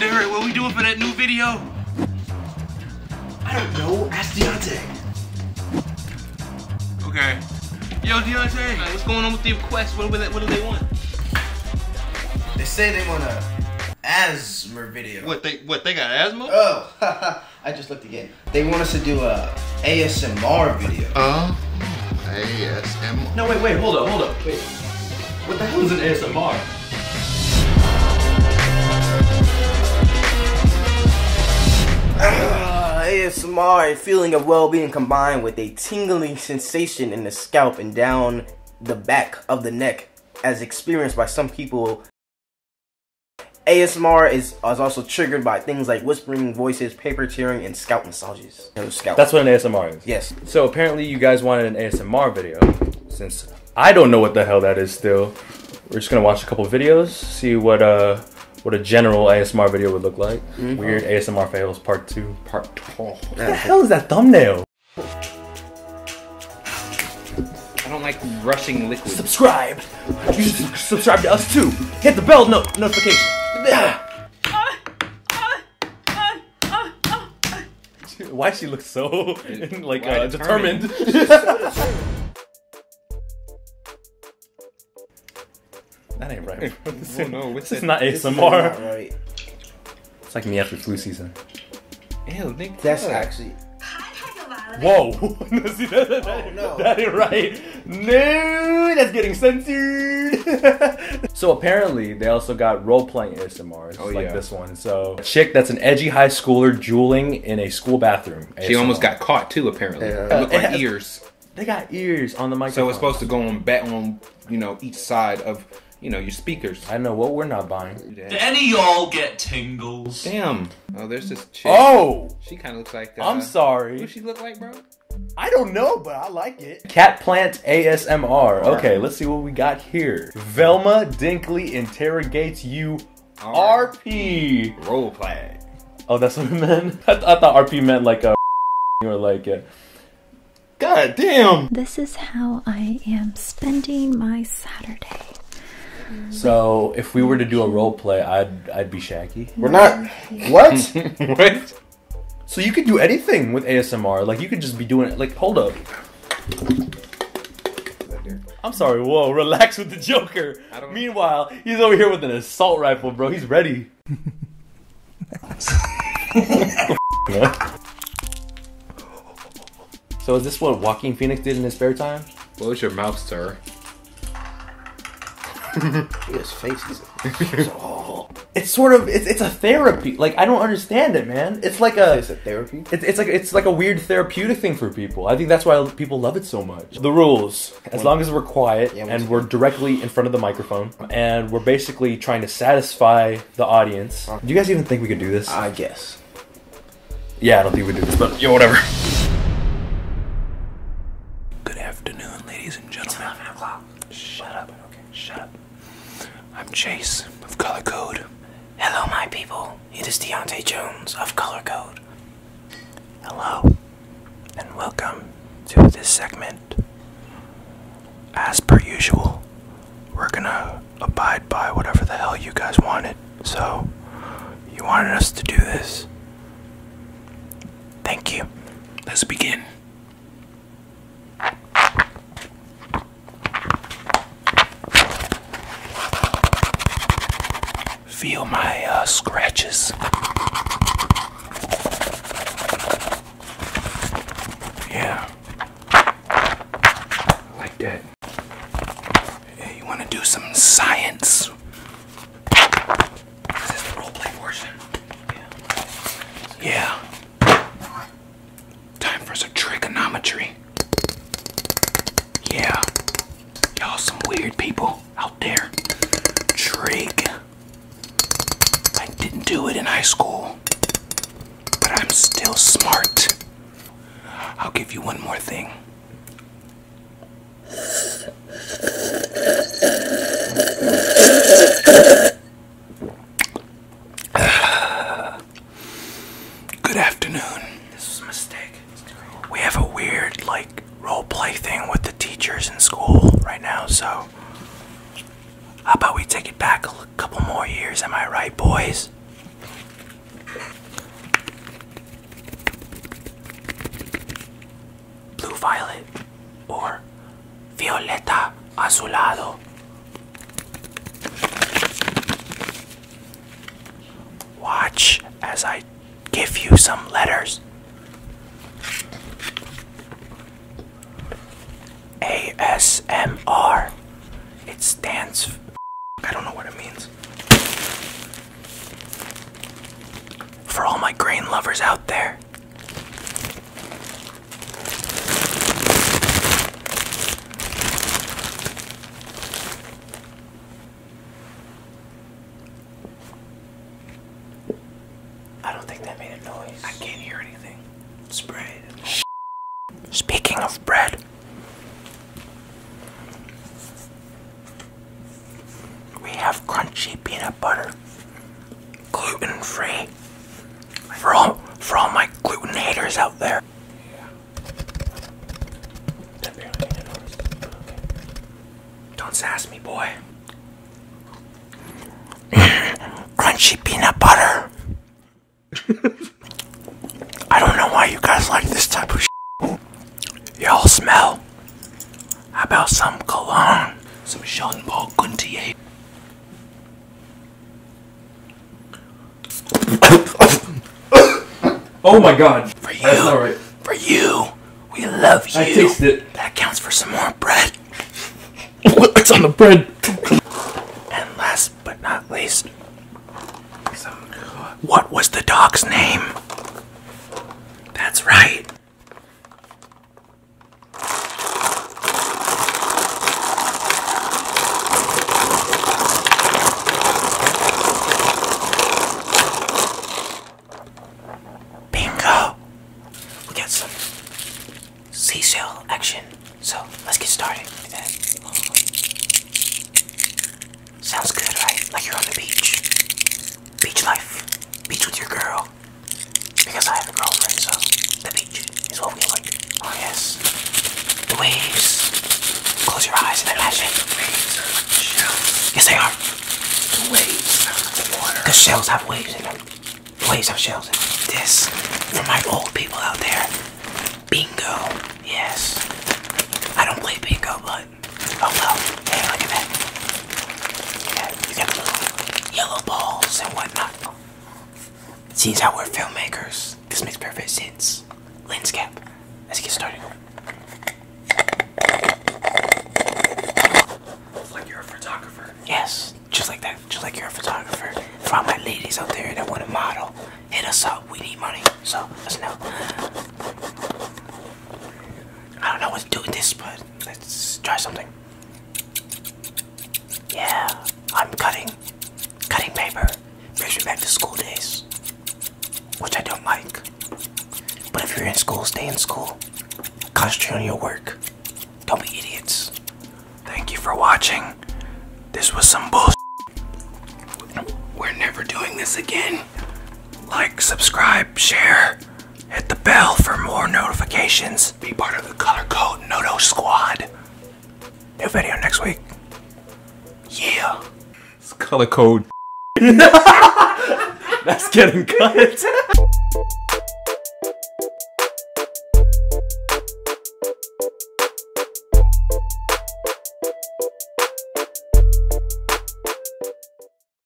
Derek, what we doing for that new video? I don't know. Ask Deontay. Okay. Yo, Deontay, what's going on with the requests? What, what do they want? They say they want a asthma video. What they what they got asthma? Oh, I just looked again they want us to do a ASMR video. Uh, ASMR. No, wait, wait, hold up, hold up, wait. What the hell is an ASMR? Uh, ah, ASMR, a feeling of well-being combined with a tingling sensation in the scalp and down the back of the neck as experienced by some people ASMR is, is also triggered by things like whispering voices, paper tearing, and scalp massages. No scalp. That's what an ASMR is. Yes. So apparently you guys wanted an ASMR video. Since I don't know what the hell that is still, we're just gonna watch a couple videos, see what uh what a general ASMR video would look like. Mm-hmm. Weird ASMR fails part two, part two. What the hell is that thumbnail? I don't like rushing liquid. Subscribe subscribe to us too. Hit the bell no notification. Why she looks so like uh, determined? that ain't right. no, it's is not ASMR. It's like me after flu season. That's actually. Whoa! Oh, that ain't right no, that's getting censored. so apparently, they also got role playing ASMRs oh, like this one. So chick that's an edgy high schooler jeweling in a school bathroom. She almost got caught too. Apparently, yeah. Uh, like ears. They got ears on the mic. So it's supposed to go on back on you know each side of you know, your speakers. I know what we're not buying. Did any y'all get tingles? Damn. Oh, there's this chick. Oh! She kind of looks like that. I'm uh, sorry. Who she look like, bro? I don't know, but I like it. Cat plant ASMR. Okay, let's see what we got here. Velma Dinkley interrogates you R- RP. Roleplay. Oh, that's what it meant? I, thought RP meant like uh, a or like a. Uh, God damn! This is how I am spending my Saturday. So if we were to do a role play, I'd I'd be Shaggy. We're not. What? what? So you could do anything with ASMR. Like you could just be doing it. Like hold up. I'm sorry. Whoa, relax with the Joker. Meanwhile, he's over here with an assault rifle, bro. He's ready. so is this what Walking Phoenix did in his spare time? Close your mouth, sir. it's sort of it's, it's a therapy. Like I don't understand it, man. It's like a therapy. It's, it's like it's like a weird therapeutic thing for people. I think that's why people love it so much. The rules: as long as we're quiet and we're directly in front of the microphone, and we're basically trying to satisfy the audience. Do you guys even think we could do this? I guess. Yeah, I don't think we do this, but yo, whatever. Good afternoon ladies and gentlemen. It's 11 o'clock. Shut up. shut up. I'm Chase of Color Code. Hello, my people. It is Deontay Jones of Color Code. Hello, and welcome to this segment. As per usual, we're gonna abide by whatever the hell you guys wanted. So, you wanted us to do this. Thank you. Let's begin. Feel my uh, scratches. Yeah. Like that. you want to do some science? Yeah. yeah. Time for some trigonometry. Yeah. Y'all some weird people out there. Trig. I didn't do it in high school. But I'm still smart. I'll give you one more thing. Good afternoon. This was a mistake. We have a weird, like, role play thing with the teachers in school right now, so how about we take it back a couple more years? Am I right, boys? blue violet or violeta azulado. Watch as I give you some letters. ASMR. It stands. I don't know what it means. For all my grain lovers out there, I don't think that made a noise. I can't hear anything. It's Speaking of bread, we have crunchy peanut butter, gluten free. For all, for all my gluten haters out there. Don't sass me, boy. Crunchy peanut butter. I don't know why you guys like this type of. Y'all smell how about some cologne? Some Jean Paul Gaultier. oh my god. For you. all right. For you. We love you. I tasted it. That counts for some more bread. it's on the bread. and last but not least, what was the dog's name? That's right. Bingo! We got some seashell action, so let's get started. Sounds good, right? Like you're on the beach beach life, beach with your girl, because I have a girlfriend, so the beach is what we like. Oh yes, the waves. Close your eyes and imagine. The waves are shells. Yes, they are. The waves are like water. The shells have waves in them. The waves have shells in This for my old people out there. Bingo. Yes. I don't play bingo, but Oh no. Hey, look at that. Look You got the little yellow balls and whatnot. Seems how we're filmmakers. This makes perfect sense. Lens cap. Let's get started. Like you're a photographer. Yes, just like that. Just like you're a photographer. For all my ladies out there that want to model, hit us up. We need money, so let's know. I don't know what's doing this, but Let's try something. Yeah, I'm cutting. Cutting paper brings me back to school days, which I don't like. But if you're in school, stay in school. Concentrate on your work. Don't be idiots. Thank you for watching. This was some bullshit. We're never doing this again. Like, subscribe, share. Hit the bell for more notifications. Be part of the Color Code Noto Squad. New video next week. Yeah. It's color code. That's getting good.